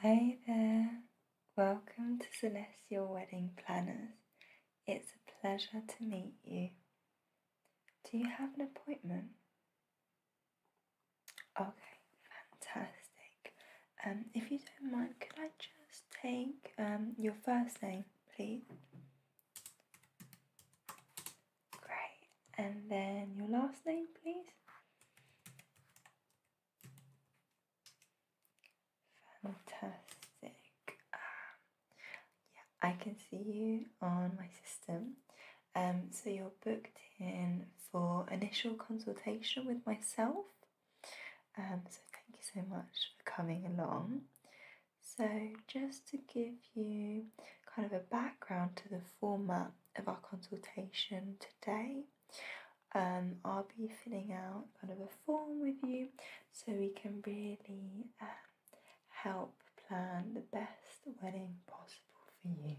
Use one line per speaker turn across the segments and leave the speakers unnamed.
Hi there, welcome to Celestial Wedding Planners. It's a pleasure to meet you. Do you have an appointment? Okay, fantastic. Um, if you don't mind, could I just take um, your first name, please? Great, and then your last name, please? Fantastic. Um, yeah, I can see you on my system. Um, so you're booked in for initial consultation with myself. Um, so thank you so much for coming along. So just to give you kind of a background to the format of our consultation today, um, I'll be filling out kind of a form with you so we can really um, help plan the best wedding possible for you.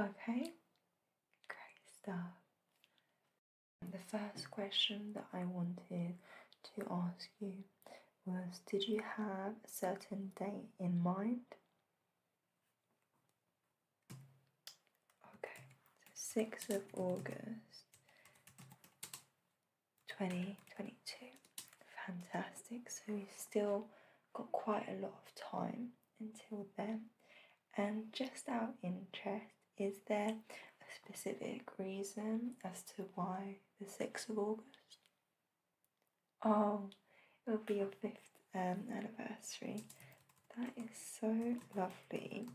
Okay? Great stuff. The first question that I wanted to ask you was Did you have a certain date in mind? Okay, so 6th of August 2022. Fantastic. So we have still got quite a lot of time until then. And just out interest, is there a specific reason as to why the 6th of August? Oh, it will be your fifth um, anniversary. That is so lovely.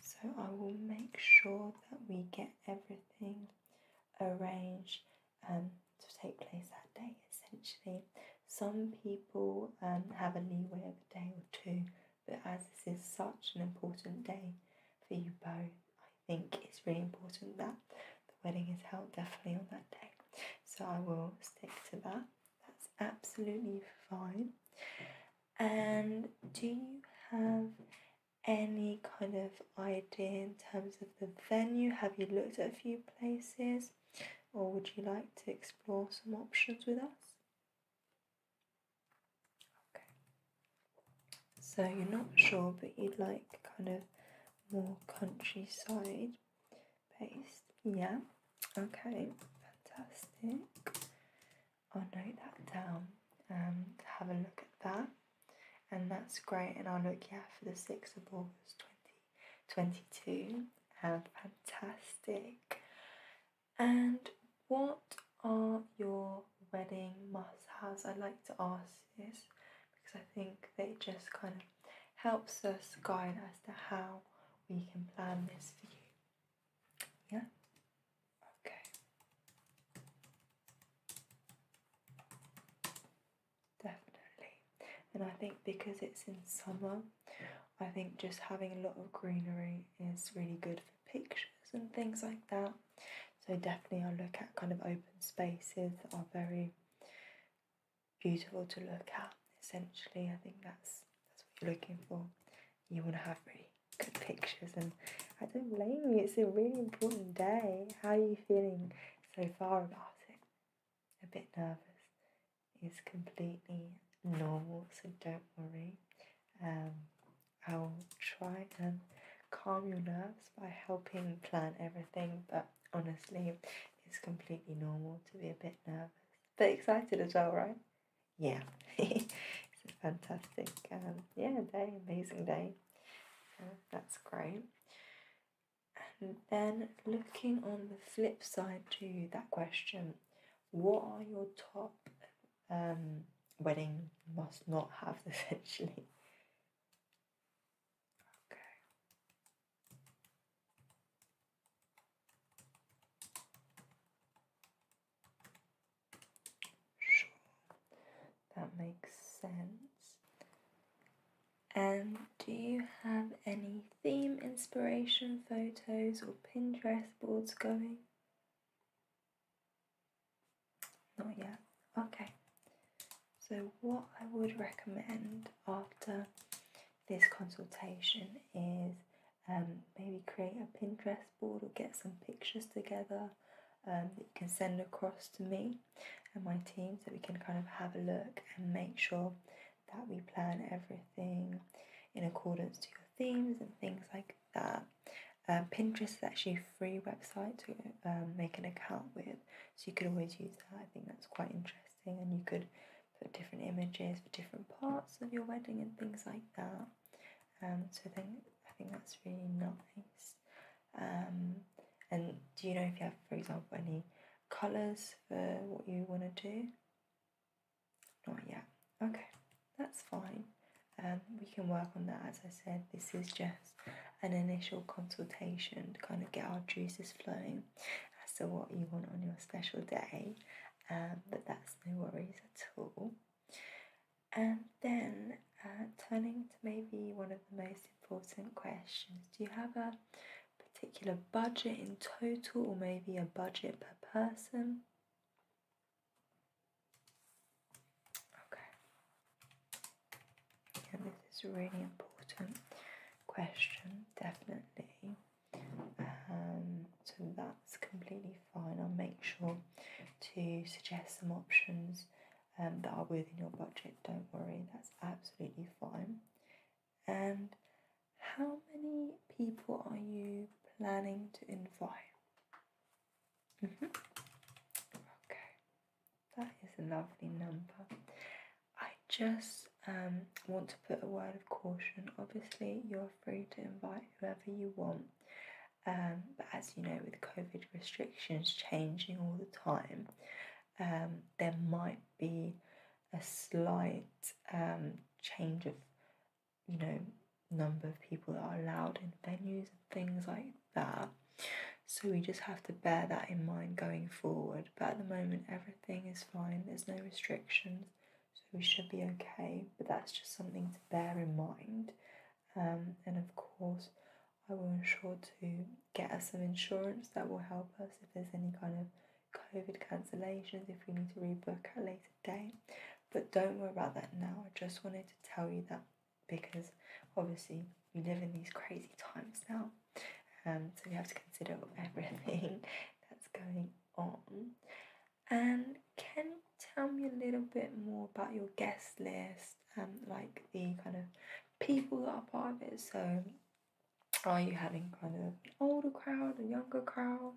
So I will make sure that we get everything arranged um, to take place that day essentially. Some people um, have a leeway of a day or two, but as this is such an important day for you both, I think it's really important that the wedding is held definitely on that day. So I will stick to that. That's absolutely fine. And do you have any kind of idea in terms of the venue? Have you looked at a few places or would you like to explore some options with us? Okay. So you're not sure but you'd like kind of more countryside based. Yeah. Okay. Fantastic. I'll note that down. Um, have a look at that, and that's great. And I'll look yeah for the sixth of August, twenty twenty two. Um, fantastic. And what are your wedding must-haves? I like to ask this because I think they just kind of helps us guide as to how we can plan this for you. Yeah? Okay. Definitely. And I think because it's in summer, I think just having a lot of greenery is really good for pictures and things like that. So definitely I'll look at kind of open spaces that are very beautiful to look at. Essentially, I think that's that's what you're looking for. You want to have really good pictures, and I don't blame you. It's a really important day. How are you feeling so far about it? A bit nervous. It's completely normal, so don't worry. Um, I will try and calm your nerves by helping plan everything, but honestly, it's completely normal to be a bit nervous bit excited as well, right? Yeah, it's a fantastic, um, yeah, day, amazing day. that's great. And then looking on the flip side to that question, what are your top um, wedding must not have essentially? Okay. That makes sense. And do you have any theme inspiration photos or Pinterest boards going? Not yet. Okay. So, what I would recommend after this consultation is um, maybe create a Pinterest board or get some pictures together um, that you can send across to me and my team so we can kind of have a look and make sure that we plan everything in accordance to your themes and things like that. Um, Pinterest is actually free website to um, make an account with, so you could always use that. I think that's quite interesting, and you could for different images, for different parts of your wedding and things like that. Um, so I think I think that's really nice. Um, and do you know if you have, for example, any colours for what you want to do? Not yet. Okay, that's fine. Um, we can work on that. As I said, this is just an initial consultation to kind of get our juices flowing as to what you want on your special day, um, but that's no worries at all. And then uh, turning to maybe one of the most important questions do you have a particular budget in total, or maybe a budget per person? Okay, and this is a really important question, definitely. Um, so that's completely fine. I'll make sure to suggest some options um, that are within your budget. Don't worry, that's absolutely fine. And how many people are you planning to invite? Mm-hmm. Okay, that is a lovely number. I just um, want to put a word of caution. Obviously, you're free to invite whoever you want, um, but as you know, with COVID restrictions changing all the time, um, there might be a slight um, change of, you know, number of people that are allowed in venues and things like that. So we just have to bear that in mind going forward. But at the moment, everything is fine, there's no restrictions so we should be okay. But that's just something to bear in mind. Um, and of course, I will ensure to get us some insurance that will help us if there's any kind of COVID cancellations, if we need to rebook at a later date. But don't worry about that now. I just wanted to tell you that because obviously we live in these crazy times now. and um, so we have to consider everything that's going on. And can you tell me a little bit more about your guest list, um, like the kind of people that are part of it? So, are you having kind of an older crowd, or younger crowd?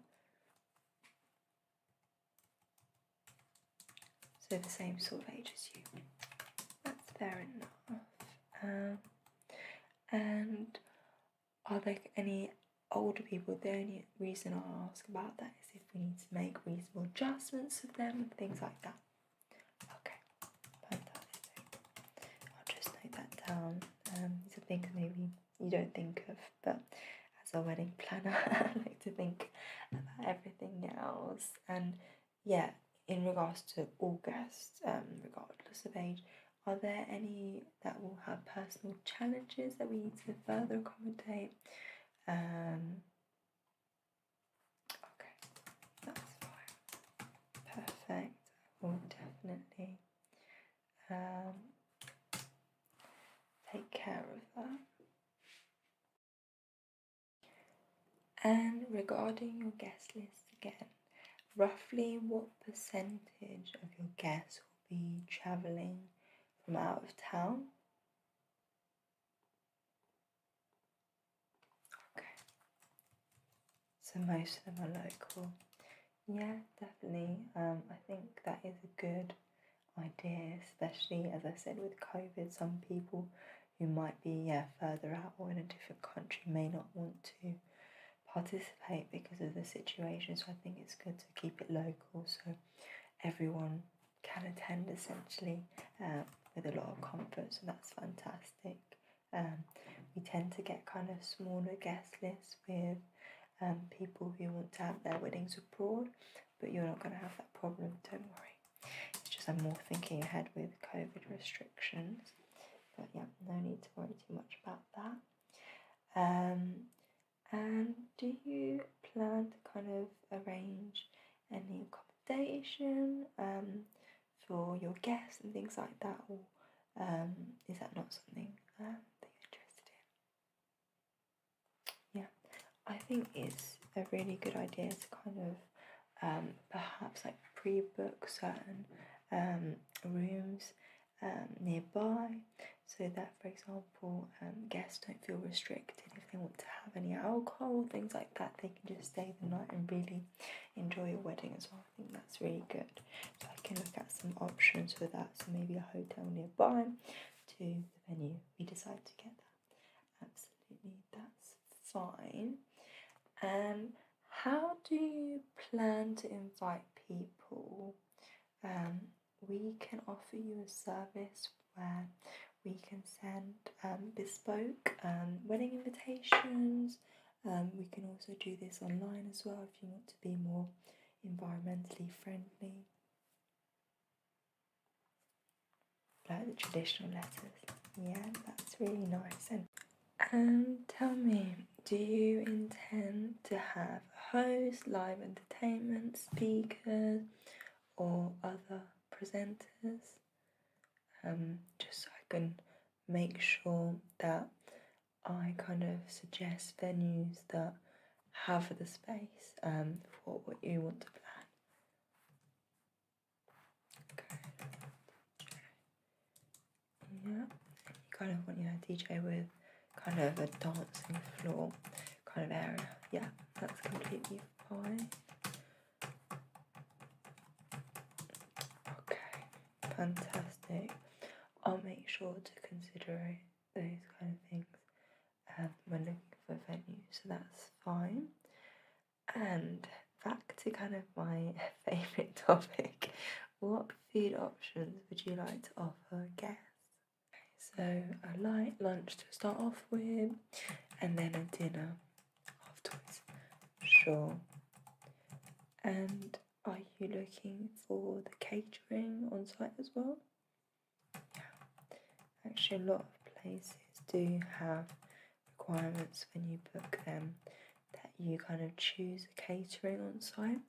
So, the same sort of age as you. That's fair enough. Um, and are there any older people? The only reason I ask about that is if we need to make reasonable adjustments of them and things like that. Okay, fantastic. I'll just note that down. Um, things maybe you don't think of, but as a wedding planner, I like to think about everything else. And yeah, in regards to all guests, um, regardless of age, are there any that will have personal challenges that we need to further accommodate? Um, okay, that's fine. Perfect. We'll definitely um, take care of that. And regarding your guest list again, roughly what percentage of your guests will be traveling from out of town? Okay, so most of them are local. Yeah, definitely. Um, I think that is a good idea, especially as I said with COVID, some people who might be yeah, further out or in a different country may not want to participate because of the situation. So I think it's good to keep it local so everyone can attend essentially uh, with a lot of comfort. So that's fantastic. Um, we tend to get kind of smaller guest lists with um, people who want to have their weddings abroad, but you're not going to have that problem, don't worry. It's just I'm more thinking ahead with COVID restrictions. But yeah, no need to worry too much about that. Um, and do you plan to kind of arrange any accommodation um, for your guests and things like that, or um, is that not something uh, that interested in? Yeah, I think it's a really good idea to kind of um, perhaps like pre-book certain um, rooms um, nearby so that, for example, um, guests don't feel restricted if they want to have any alcohol, things like that. They can just stay the night and really enjoy your wedding as well. I think that's really good. So I can look at some options for that. So maybe a hotel nearby to the venue. We decide to get that. Absolutely, that's fine. Um, how do you plan to invite people? Um, we can offer you a service where we can send um, bespoke um, wedding invitations. Um, we can also do this online as well if you want to be more environmentally friendly. Like the traditional letters. Yeah, that's really nice. And and tell me, do you intend to have a host, live entertainment, speakers, or other presenters? Um, just so I can make sure that I kind of suggest venues that have the space um, for what you want to plan. Okay. Yeah, you kind of want your DJ with kind of a dancing floor kind of area. Yeah, that's completely fine. Okay, fantastic. I'll make sure to consider those kind of things um, when looking for a venue, so that's fine. And back to kind of my favourite topic, what food options would you like to offer guests? So, a light lunch to start off with, and then a dinner afterwards. Sure. And are you looking for the catering on site as well? Yeah. Actually, a lot of places do have requirements when you book them that you kind of choose a catering on site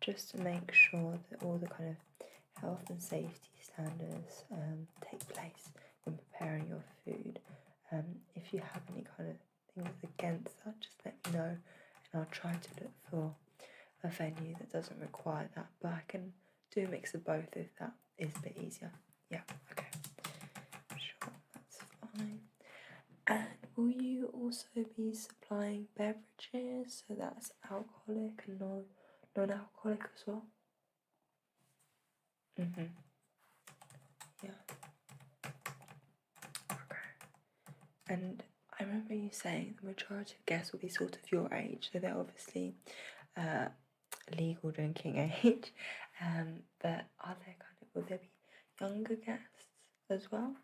just to make sure that all the kind of health and safety standards um, take place in preparing your food. Um, if you have any kind of things against that, just let me know and I'll try to look for a venue that doesn't require that. But I can do a mix of both if that is a bit easier. Yeah, okay. Sure, that's fine. And will you also be supplying beverages? So that's alcoholic and non non alcoholic as well. Mhm. Mm yeah. Okay. And I remember you saying the majority of guests will be sort of your age, so they're obviously uh, legal drinking age. Um, but are there kind of will there be younger guests? as well.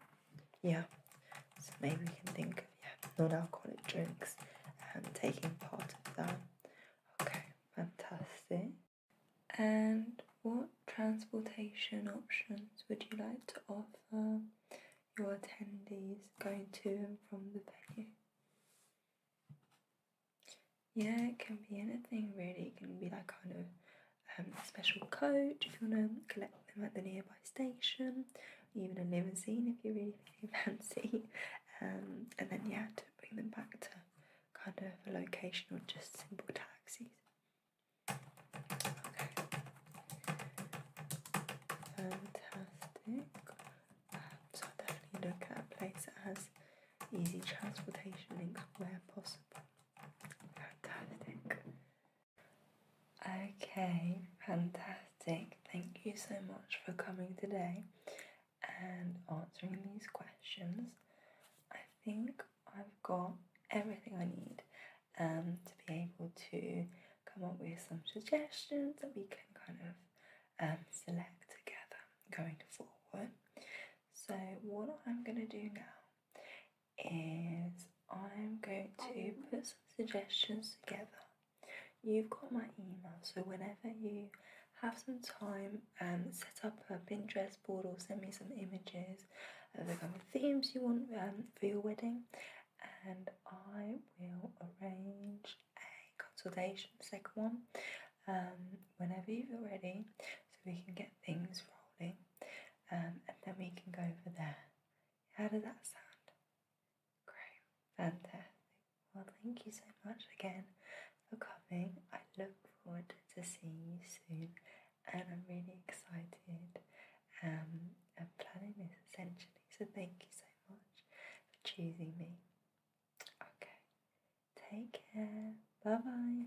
Yeah, so maybe we can think of yeah, non-alcoholic drinks and taking part of that. Okay, fantastic. And what transportation options would you like to offer your attendees going to and from the venue? Yeah, it can be anything really. It can be like kind of um, special coach if you want to collect them at the nearby station, even a limousine if you're really fancy, um, and then yeah, to bring them back to kind of a location or just simple taxis. Fantastic. Um, so definitely look at a place that has easy transportation links where possible. Fantastic. Okay, fantastic. Thank you so much for coming today and answering these questions. I think I've got everything I need um, to be able to come up with some suggestions that we can kind of um, select together going forward. So, what I'm going to do now is I'm going to um, put some suggestions together. You've got my email, so whenever you have some time, um, set up a Pinterest board or send me some images of the kind of themes you want um, for your wedding, and I will arrange a consultation, second one, um, whenever you're ready, so we can get things rolling, um, and then we can go over there. How does that sound? Great, fantastic. Well, thank you so much again for coming. I look forward to seeing you soon, and I'm really excited. Um, planning this essentially, so thank you so much for choosing me. Okay, take care. Bye bye.